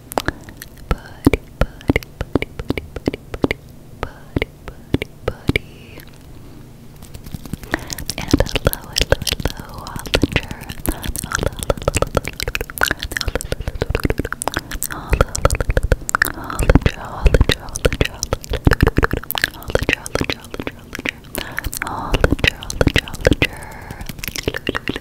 buddy, buddy, buddy, buddy, buddy, buddy, buddy, buddy, buddy. And hello, hello, hello, Hollander. Hello, hello, Hollander, Hollander, Hollander,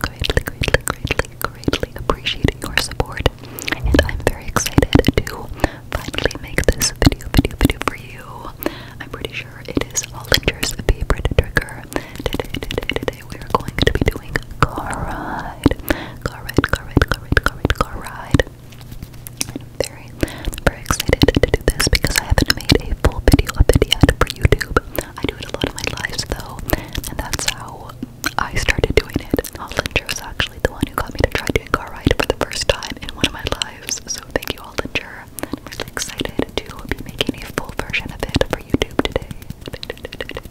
greatly, greatly, greatly, greatly appreciate your support. And I'm very excited to finally make this video, video, video for you. I'm pretty sure it is Hollinger's favorite trigger. Today, today, today, we are going to be doing car ride. Car ride, car ride, car ride, car ride, car ride. I'm very, very excited to do this because I haven't made a full video of it yet for YouTube. I do it a lot of my lives though, and that's how I started doing it. Hollinger was actually the one who got me to try doing car ride for the first time in one of my lives, so thank you Hollinger. I'm really excited to be making a full version of it for YouTube today.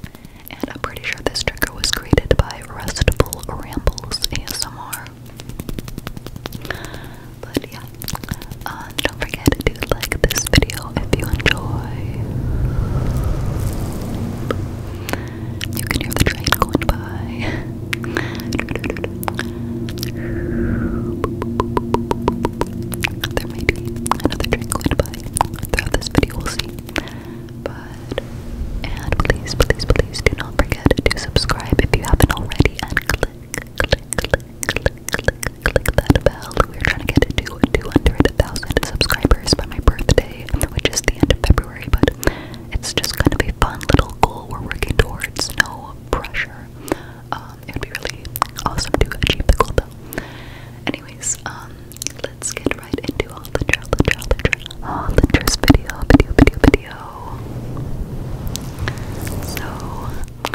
And I'm pretty sure this trigger was created by Restful Rambles ASMR. But yeah, uh, don't forget to like this video if you enjoy. You can hear the train going by. There may be another train going by throughout this video, we'll see. But, and please, please, please do not forget to subscribe if you haven't already and click that bell. We're trying to get to 200,000 subscribers by my birthday, which is the end of February, but it's just kind of a fun little goal we're working towards. No pressure. Um, it would be really awesome to achieve the goal, though. Anyways, um, let's get right into all the Hollinger, Hollinger, Hollinger's video, video, video, video. So, if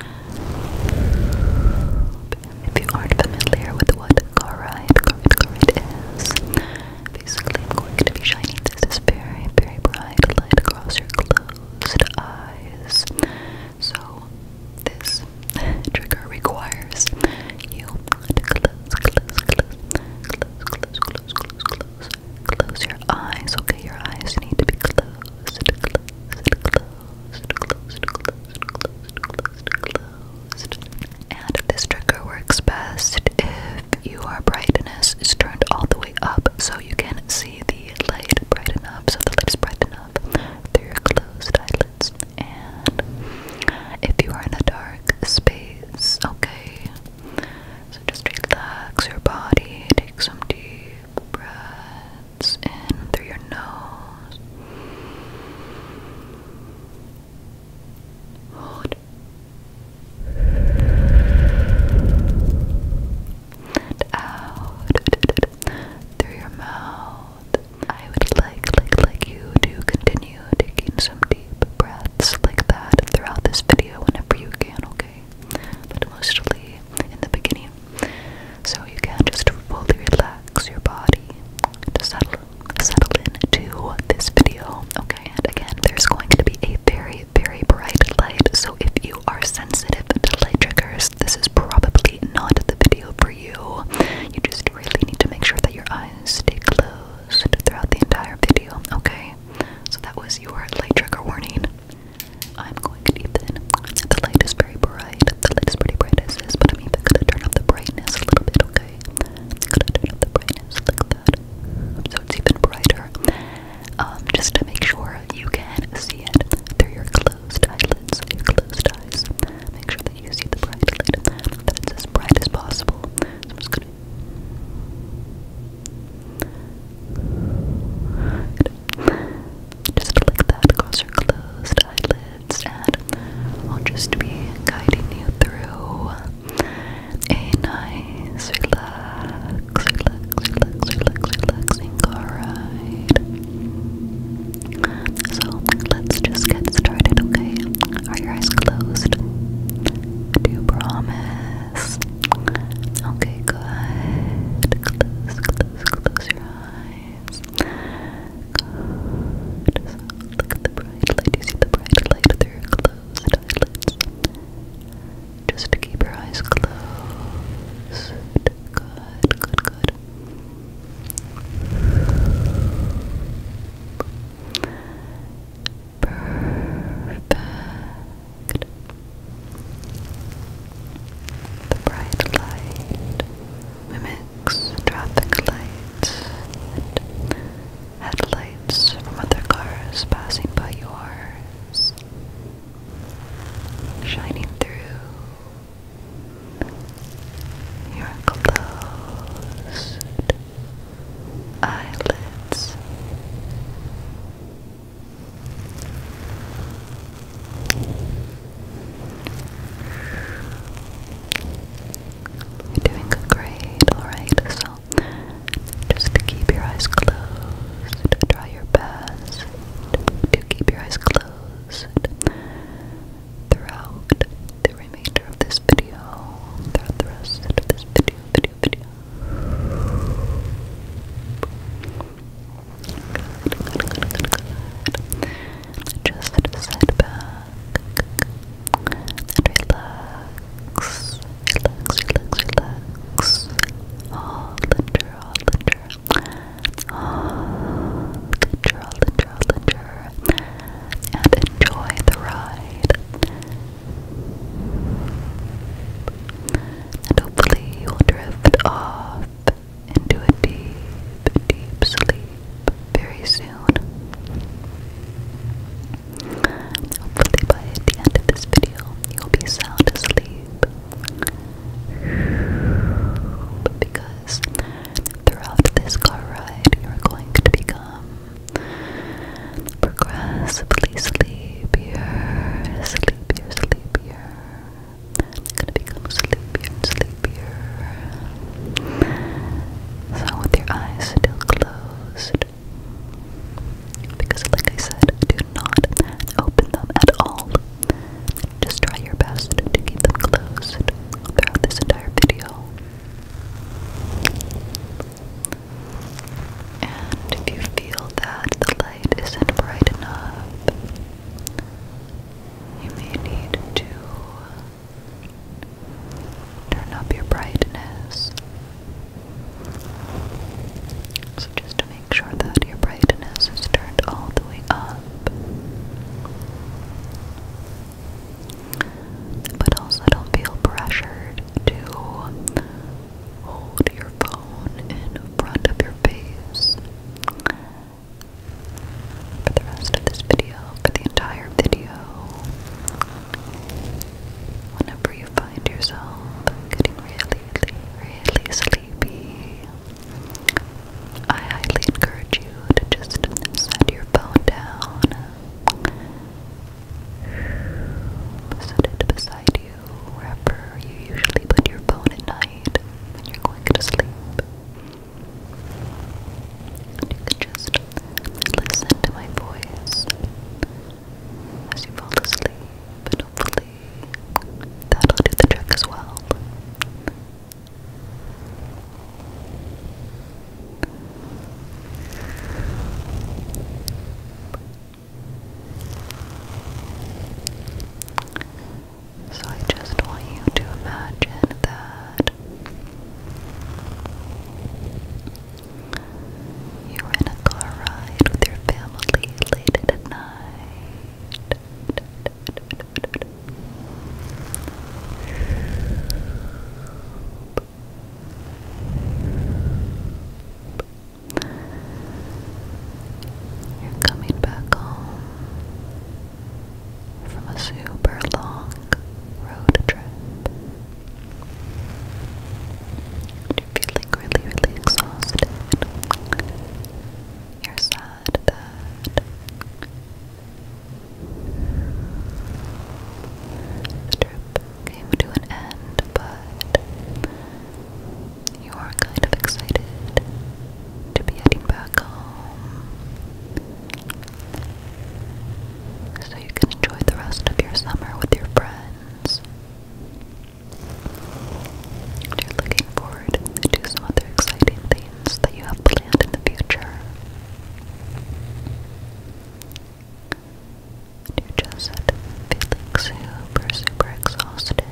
you aren't familiar with what chloride, chloride, chloride is, basically I'm going to be shining this very, very bright light across your closed eyes. So this trigger requires you to close, close, close, close, close, close, close, close, close your eyes. Okay, your eyes need to be closed, closed, closed. And this trigger works best if your brightness is turned all the way up so you can see the light bright enough, so the light is bright enough through your closed eyelids. And if you are in a dark space, okay. So just relax your body, take some deep breath breaths in through your nose. Hold. And out through your mouth. I would like, like, like you to continue taking some deep breaths like that throughout this video whenever you can, okay? But in the beginning, so you can just fully relax your body to settle, settle into this video, okay? And again, there's going to be a very, very bright light, so if you are sensitive to light triggers, this is probably not the video for you. You just really need to make sure that your eyes stay closed throughout the entire video, okay? So that was your light trigger warning. I'm going to even, the light is very bright, the light is pretty bright as is, but I'm even going to turn up the brightness a little bit, okay? I'm going to turn up the brightness like that, so it's even brighter, um, just to make sure you can see it through your closed eyelids, your closed eyes. Make sure that you see the bright light, that it's as bright as possible. I'm just going to just like that, across your closed eyelids, and I'll just be guiding you through a nice, relax, relax, relax, relax, relaxing car ride. So let's just get started, okay? Are your eyes closed? Do you promise? Okay, good. Close, close, close your eyes look at the bright light. You see the bright light through closed eyelids. Just to keep your eyes closed. Good, good, good. Perfect. The bright light mimics traffic lights and headlights from other cars passing by yours, shining through your closed eyelids. You're great, alright? So, just keep your eyes closed. Try your best to keep your eyes closed throughout the remainder of this video, throughout the rest of this video, video, video. Just sit back and relax, relax, relax, relax. Hollander, Hollander, Hollander, Hollander, Hollander, and enjoy the ride. And hopefully you'll drift off into a deep, deep sleep very soon. Hopefully, by the end of this video, you'll be sound asleep. because throughout this car ride, you're going to become progressively sleepier, sleepier, sleepier. I'm gonna become sleepier and sleepier. So with your eyes still closed, because like I said, do not open them at all. Just try your best to keep them closed throughout this entire video. And if you feel that the light isn't bright enough, you may need to turn up your brightness. So, just to make sure that your brightness is turned all the way up, but also don't feel pressured to hold your phone in front of your face for the rest of this video, for the entire video. Whenever you find yourself getting really, really, sleepy, I highly encourage you to just set your phone down, set it beside you you wherever you usually put your phone at night when you're going to sleep. you can just listen to my voice as you fall asleep, and hopefully that'll do the trick as well. So I just want you to imagine that you were in a car ride with your family late at night. You're coming back home from a super long road trip. You're feeling really, really exhausted. You're sad that the trip came to an end, but you are kind of excited to be heading back home so you can enjoy the rest of your summer with your friends. you're looking forward to some other exciting things that you have planned in the future. You're just feeling super, super exhausted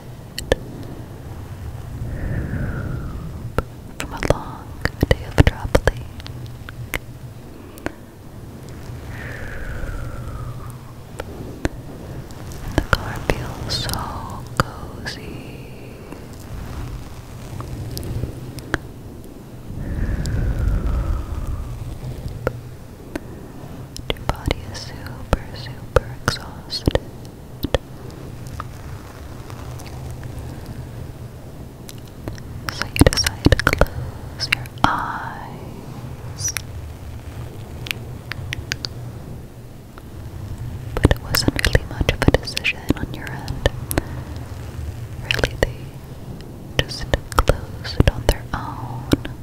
from a long day of traveling. The car feels so cozy. Your body is super, super exhausted. So you decide to close your eyes. But it wasn't really much of a decision on your end. Really, they just closed on their own.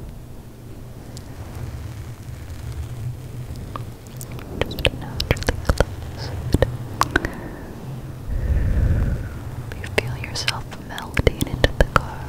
Just naturally close You feel yourself melting into the car.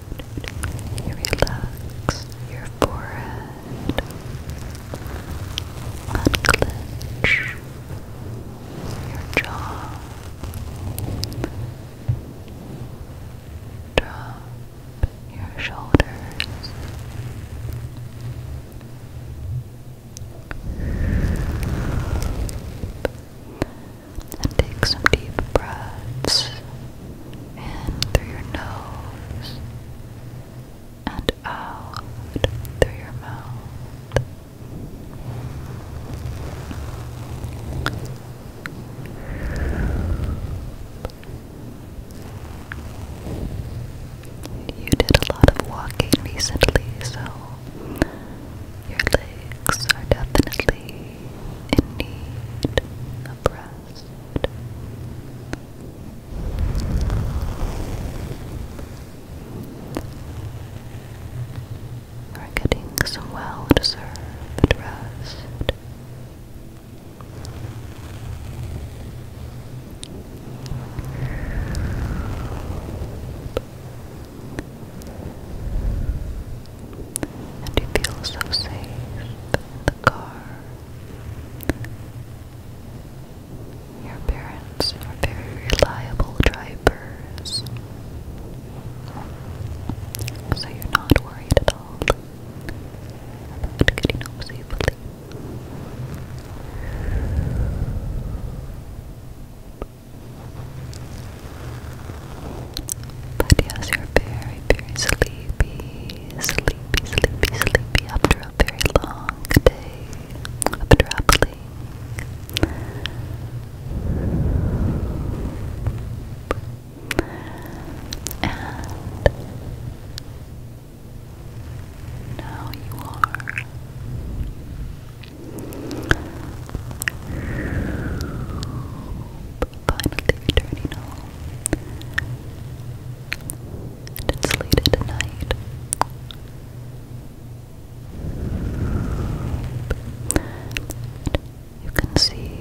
You relax your forehead. Unclench your jaw. Drop your shoulders and take some deep breaths in through your nose and out through your mouth. You did a lot of walking recently, so your legs are definitely in need of rest. Are getting some well deserved rest. And you feel so safe in the car. Your parents are very reliable drivers, so you're not worried at all about getting home safely. But yes, you're very, very sleepy, sleepy, sleepy, sleepy after a very long day of traveling. And now you are. Perfect finally returning home. And it's late at night. You can see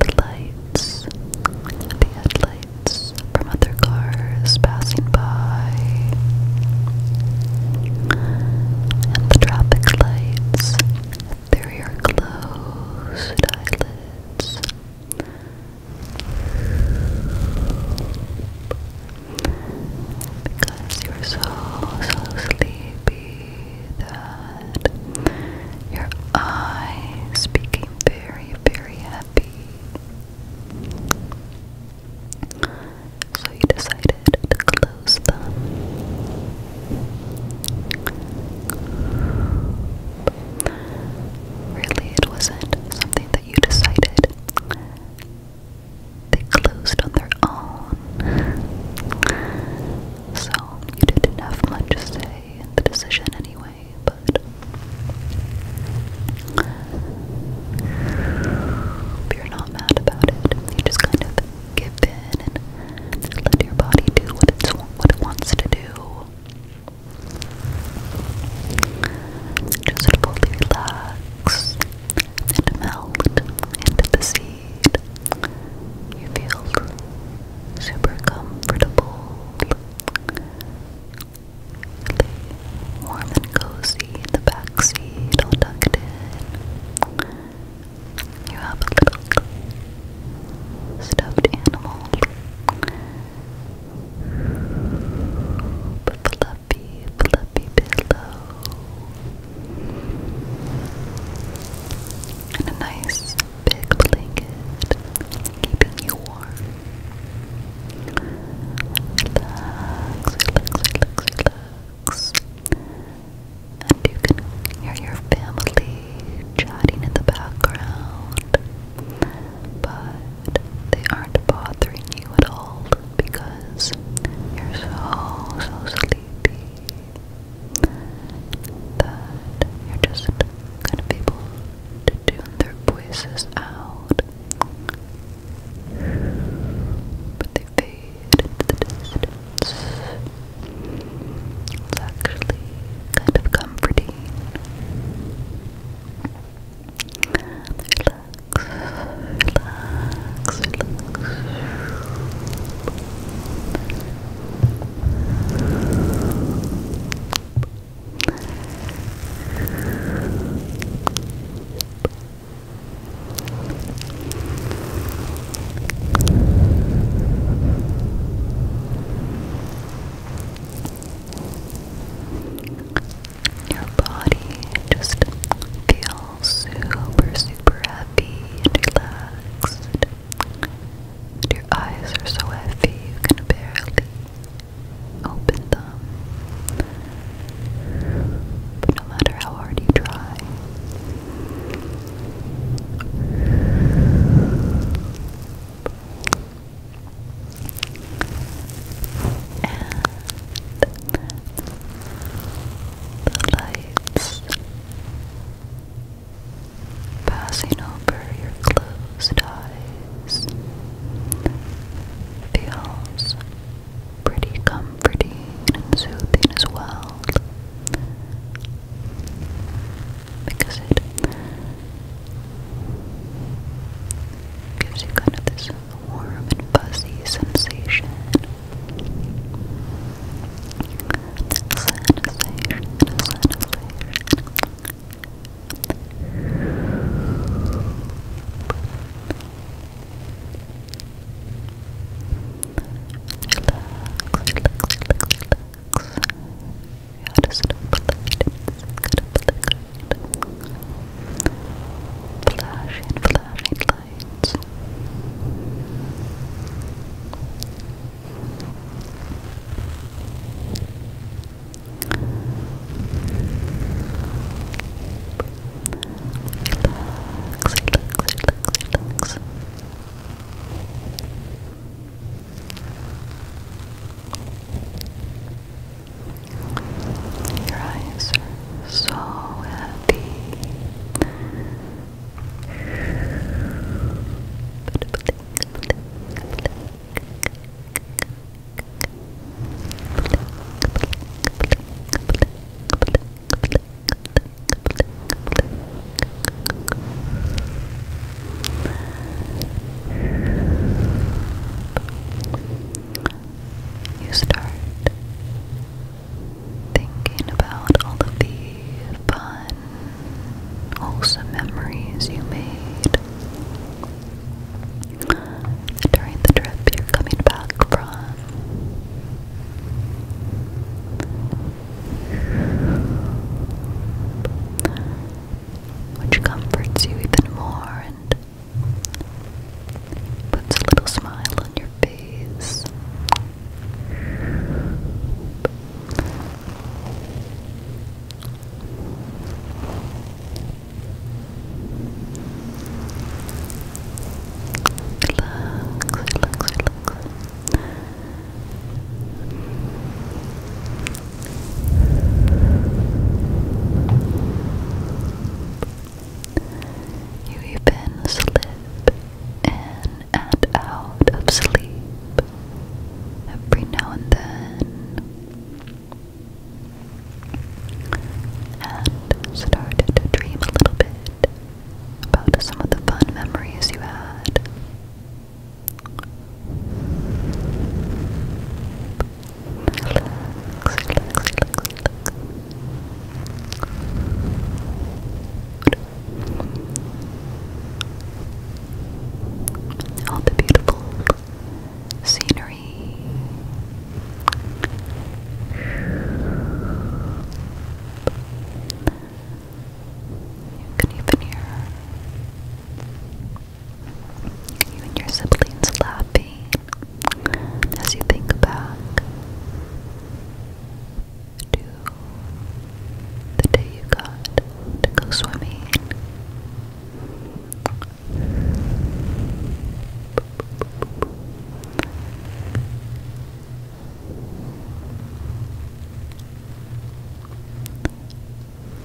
the lights, the headlights from other cars passing by, and the traffic lights through are closed eyelids. Because you're so, so sleepy that your eyes became very, very happy. So you decided decided to close them. Really, it wasn't something that you decided. They closed on their own. So, you didn't have much say in the decision anyway, but. You're not mad about it. You just kind of give in and let your body do what, it wants to do. Just fully relax and melt into the seed. You feel super comfortable, warm and cozy in the back seat, all tucked in. You have a little stuffed animal. Fluffy, fluffy pillow. And a nice big blanket keeping you warm. Relax, relax, relax, relax and you can hear your family chatting in the background, but they aren't bothering you at all because you're so, so sleepy that you're just kind of able to tune their voices out. But they it's actually kind of comforting. Relax, relax, relax. Your body just feels super, super happy and relaxed. And your eyes are so heavy you can barely open them. But no matter how hard you try, the lights passing over your closed eyes feels pretty comforting and soothing as well because it gives you kind of this warm and fuzzy sensation. Sensation, sensation relax, relax, relax. Yeah, just flashing, flashing lights. Relax, relax, relax, relax. Your eyes so happy. You start thinking about all of the fun, wholesome memories you made. During the trip you're coming back from, which comforts you even more and puts a little smile on your face. You even slip in and out of sleep every now and then and started to dream a little bit about some of the fun memories you had. All the beautiful scenery. You can even hear you and your siblings laughing as you think back to the day you got to go swimming.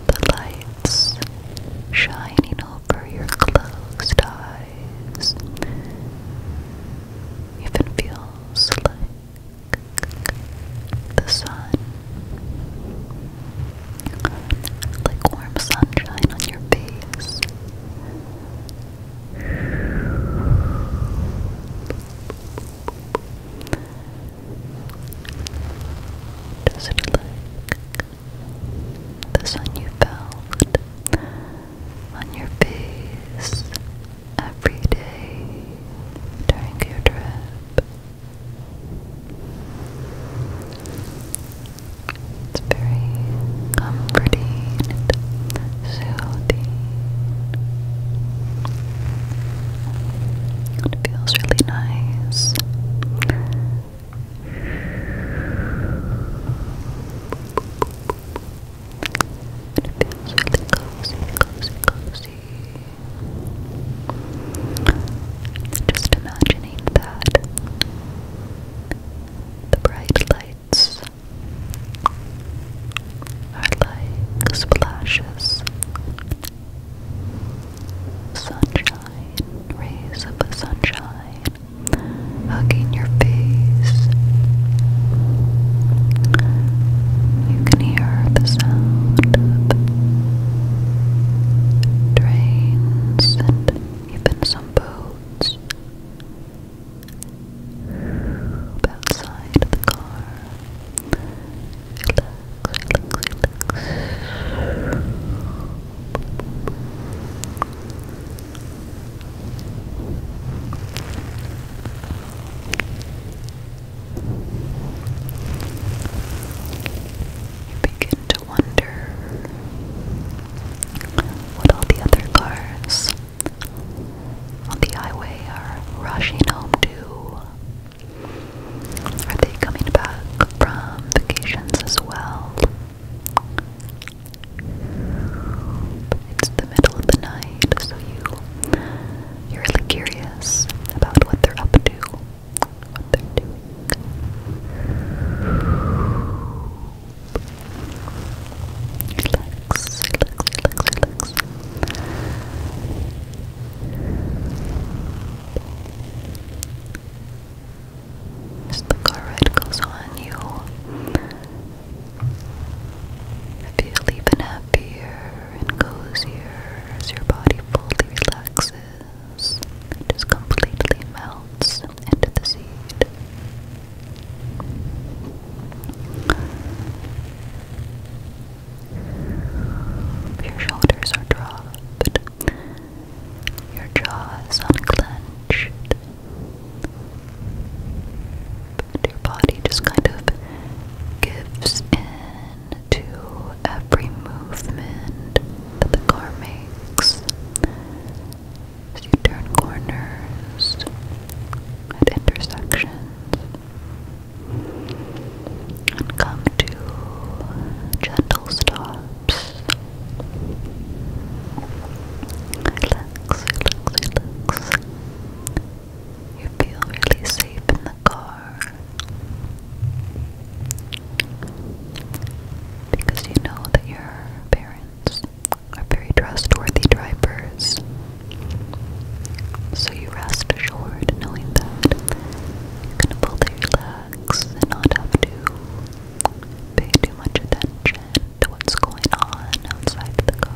The lights shining over your closed eyes even feels like the sun, like warm sunshine on your face. Does it look the sun you felt on your face every day during your trip? It's very comforting soothing. It feels really nice. It feels really cozy, cozy, cozy. Just imagining that the bright lights are like splashes. Sunshine, rays of the sunshine hugging your face. You can hear the sound of trains and even some boats up outside the car. Relax, relax, relax. You begin to wonder what all the other cars on the highway are rushing home too. Are they coming back from vacations as well? It's the middle of the night, so you you're really curious about what they're up to, what they're doing. Relax, As the car ride goes on, you feel even happier and cozier as your body fully relaxes. It just completely melts into the seed. Your shoulders are dropped. Your jaw is unclenched. But your body just kind of gives in to every movement that the car makes as you turn corners and intersections and come to gentle stops. Relax, relax, relax. You feel really safe in the car because you know that your parents are very trustworthy drivers. So you rest assured knowing that you're gonna pull your and not have to pay too much attention to what's going on outside the car.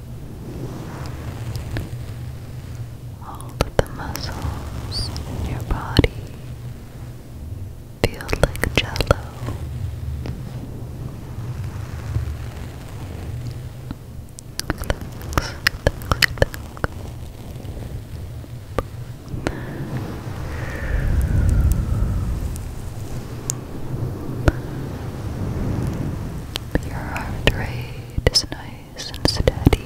All of the muscles in your body feel like jello. Relax, relax, relax. Your heart rate is nice it's and steady.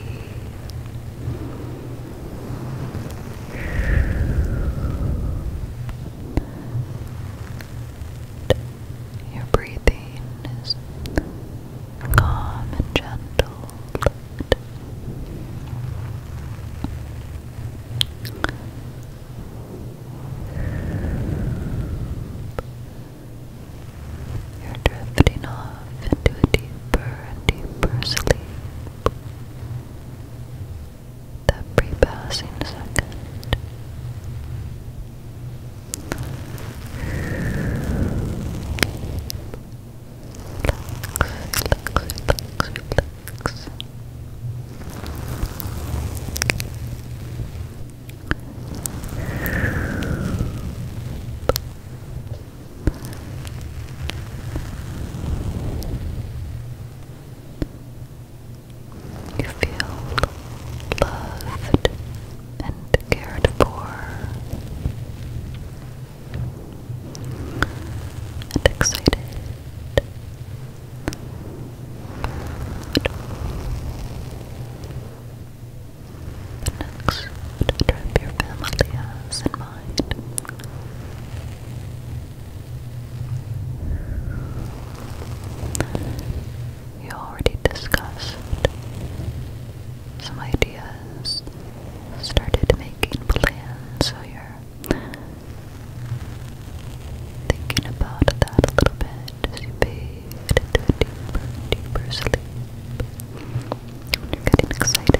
your breathing is calm and gentle. You're drifting off into a deeper and deeper sleep. Every passing second. Relax, relax, relax, relax. You feel loved and cared for and excited the next trip your family has mind. You already discussed some ideas, started making plans, so you're thinking about that a little bit as you fade into a deeper, deeper you're getting excited.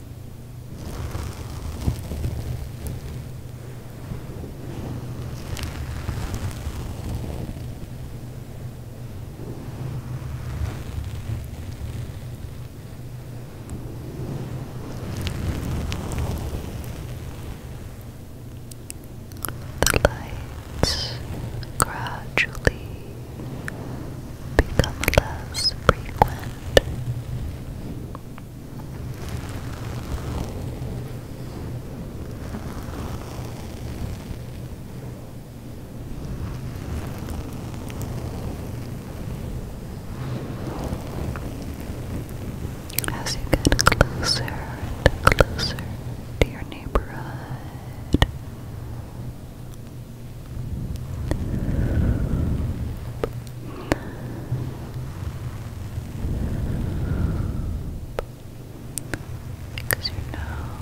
The lights gradually become less frequent as you get closer and closer to your neighborhood, because you're now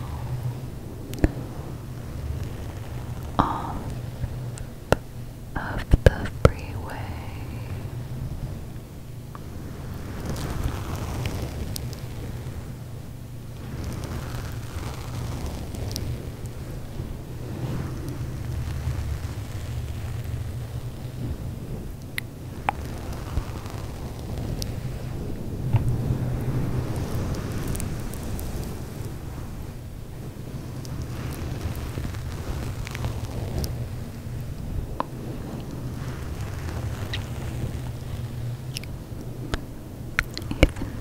off of the freeway. Even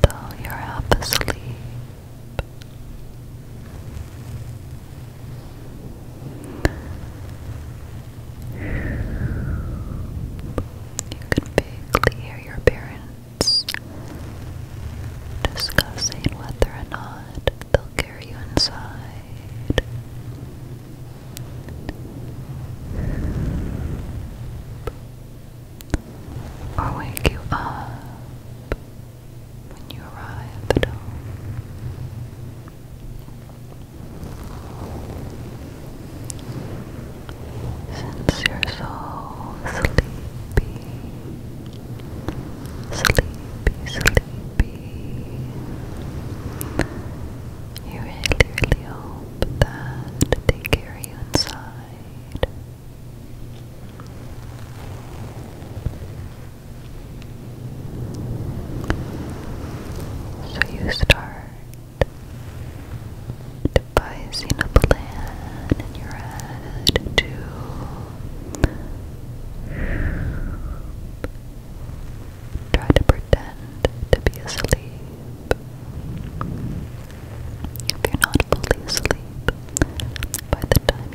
though you're half you can vaguely hear your parents discussing whether or not they'll carry you inside. Or wake you up when you arrive at home. Since you're so sleepy, sleepy, sleepy, you really, really hope that they carry you inside. So you start devising a plan in your head to try to pretend to be asleep. If you're not fully asleep, by the time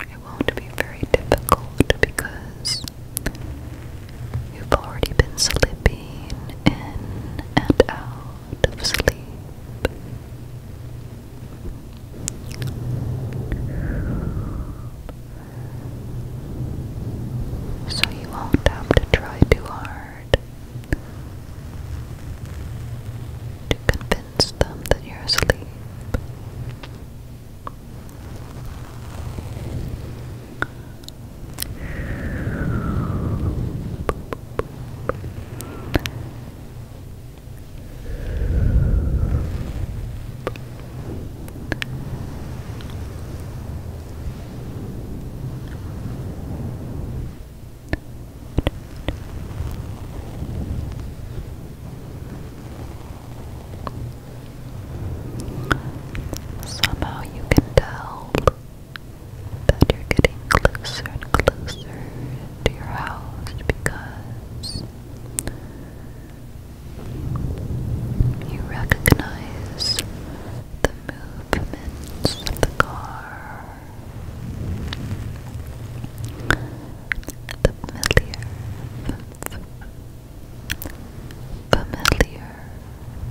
It won't be very difficult because you've already been slipping in and out of sleep. So you won't have to try too hard to convince convince that you're asleep. Somehow you can tell that you're getting closer and closer to your house because you recognize the movements of the car the familiar,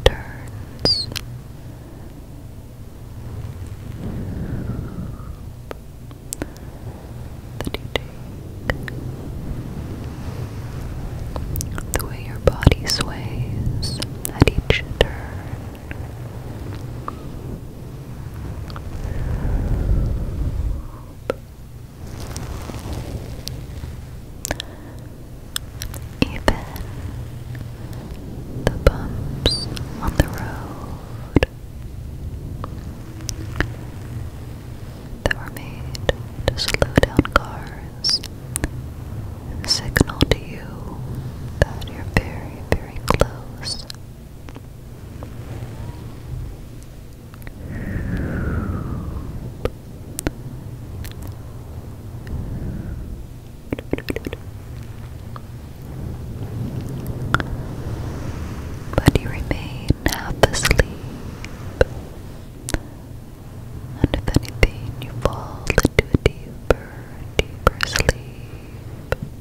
turns. That you the way your body sways at each turn even the bumps on the road that were made to slow down cars signal to you that you're very, very close but you remain half asleep, and if anything, you fall into a deeper, deeper sleep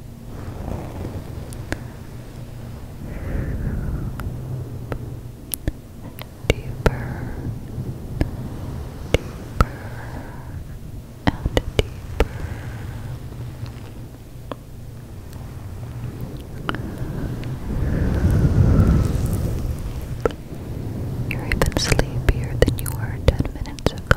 deeper, deeper, and deeper. You're even sleepier than you were ten minutes ago.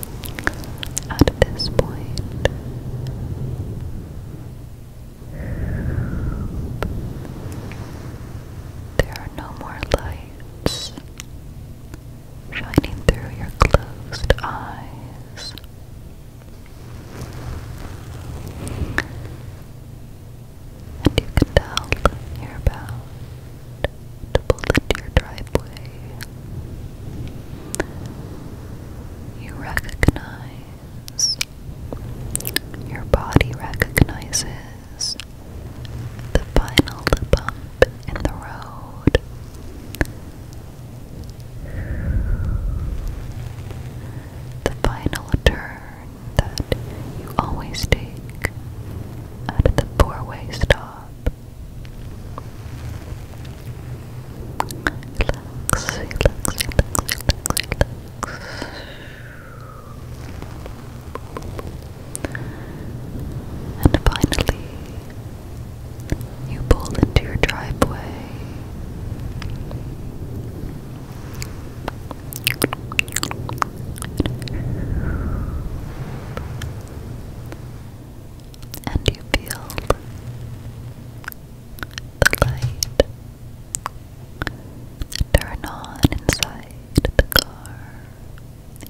at this point. There are no more lights shining through your closed eyes. And you can tell you're about to pull into your driveway. You recognize, your body recognizes the final bump in the road. The final turn that you always take at the four way stop. And finally, you pull into your driveway. And you feel the light. Turn on inside the car.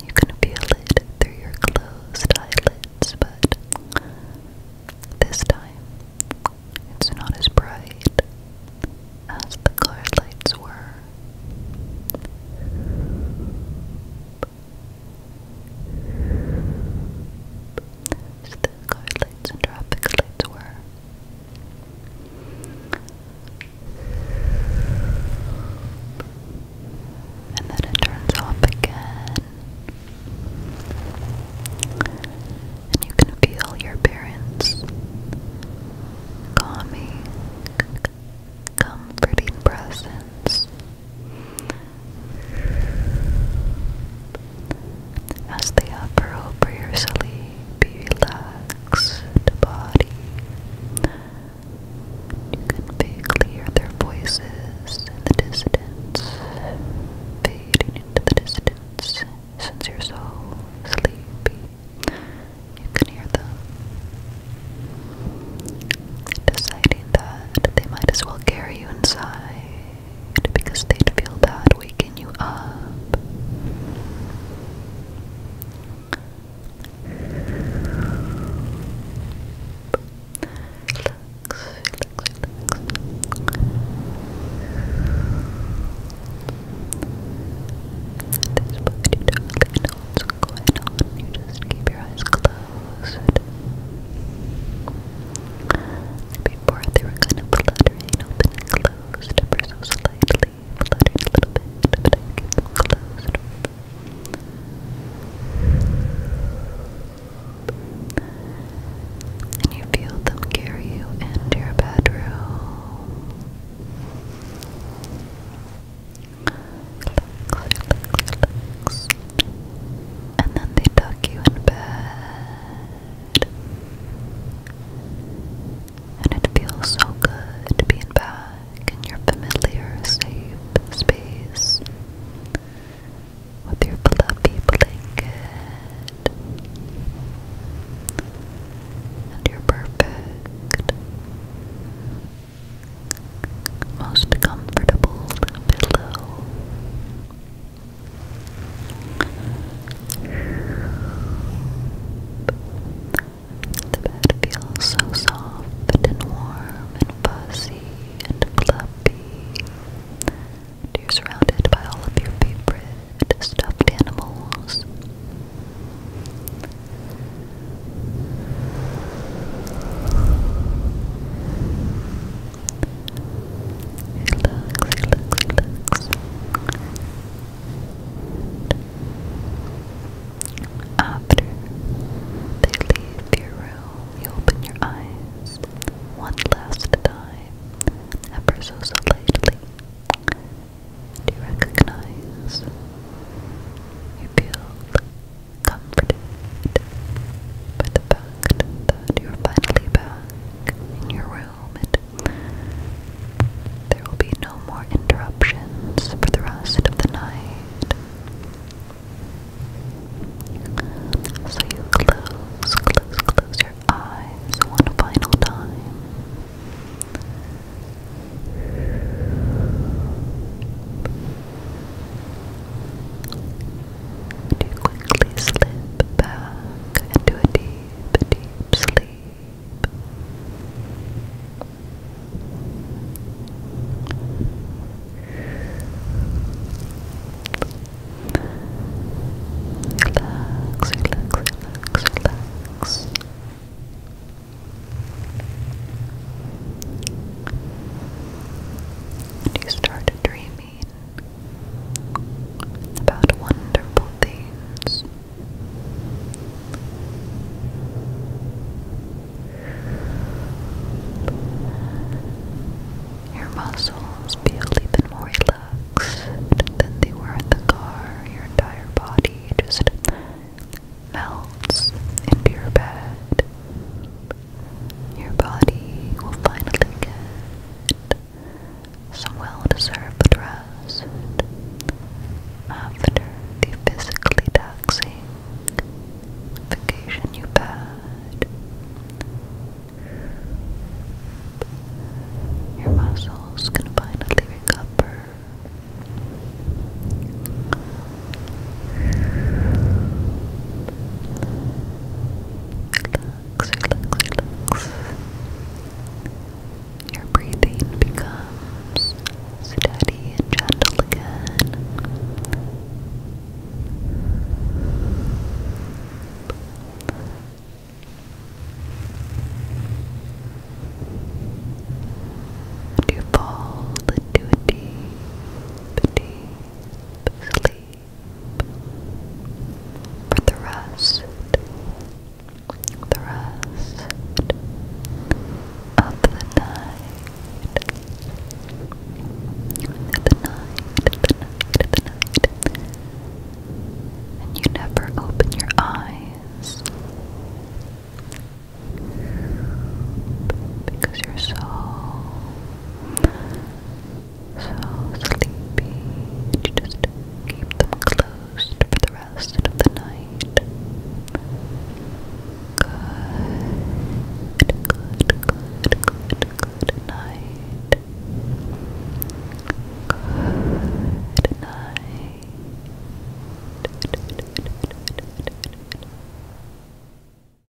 You can feel it through your closed eyelids, but this time it's not as bright as the car lights were the car lights and traffic lights were. And then it turns off again. And you can feel your parents calming, comforting presence as the upper over your sleep, you relax the body. You can vaguely hear their voices in the distance, fading into the distance since you're so sleepy. You can hear them deciding that they might as well carry you inside because they'd feel bad waking you up. At this point, you not know what's going on. You just keep your eyes closed. Before they were kind of fluttering open and closed ever so slightly, fluttered a little bit, but I keep them closed. And you feel them carry you into your bedroom and then they tuck you in bed. And it feels so good being back in your familiar, safe space with your fluffy blanket and your perfect, most comfortable pillow. The bed feels so soft and warm and fuzzy and fluffy. you're surrounded by all of your favorite stuffed animals. After they leave your room, you open your eyes one last time, ever so slightly. Do you recognize? You feel comforted by the fact that you're finally back in your room and there will be no more interruptions for the rest of the night. So you close, close, close your eyes one final time to quickly slip back into a deep, deep sleep. Relax, relax, relax, relax. Do you start to dream about wonderful things. Your muscles feel even more relaxed than they were in the car. Your entire body just melts into your bed. Your body will finally get some well deserved rest after the physically taxing vacation you've had. Your muscles can finally recover. Relax, Your breathing becomes steady and gentle again. you fall into a deep sleep for the rest, the rest of the night, the night, the night, the night, and you never open your eyes because you're so so sleepy. just keep them closed for the rest of the night. Good, good, good, good, good night. Good night.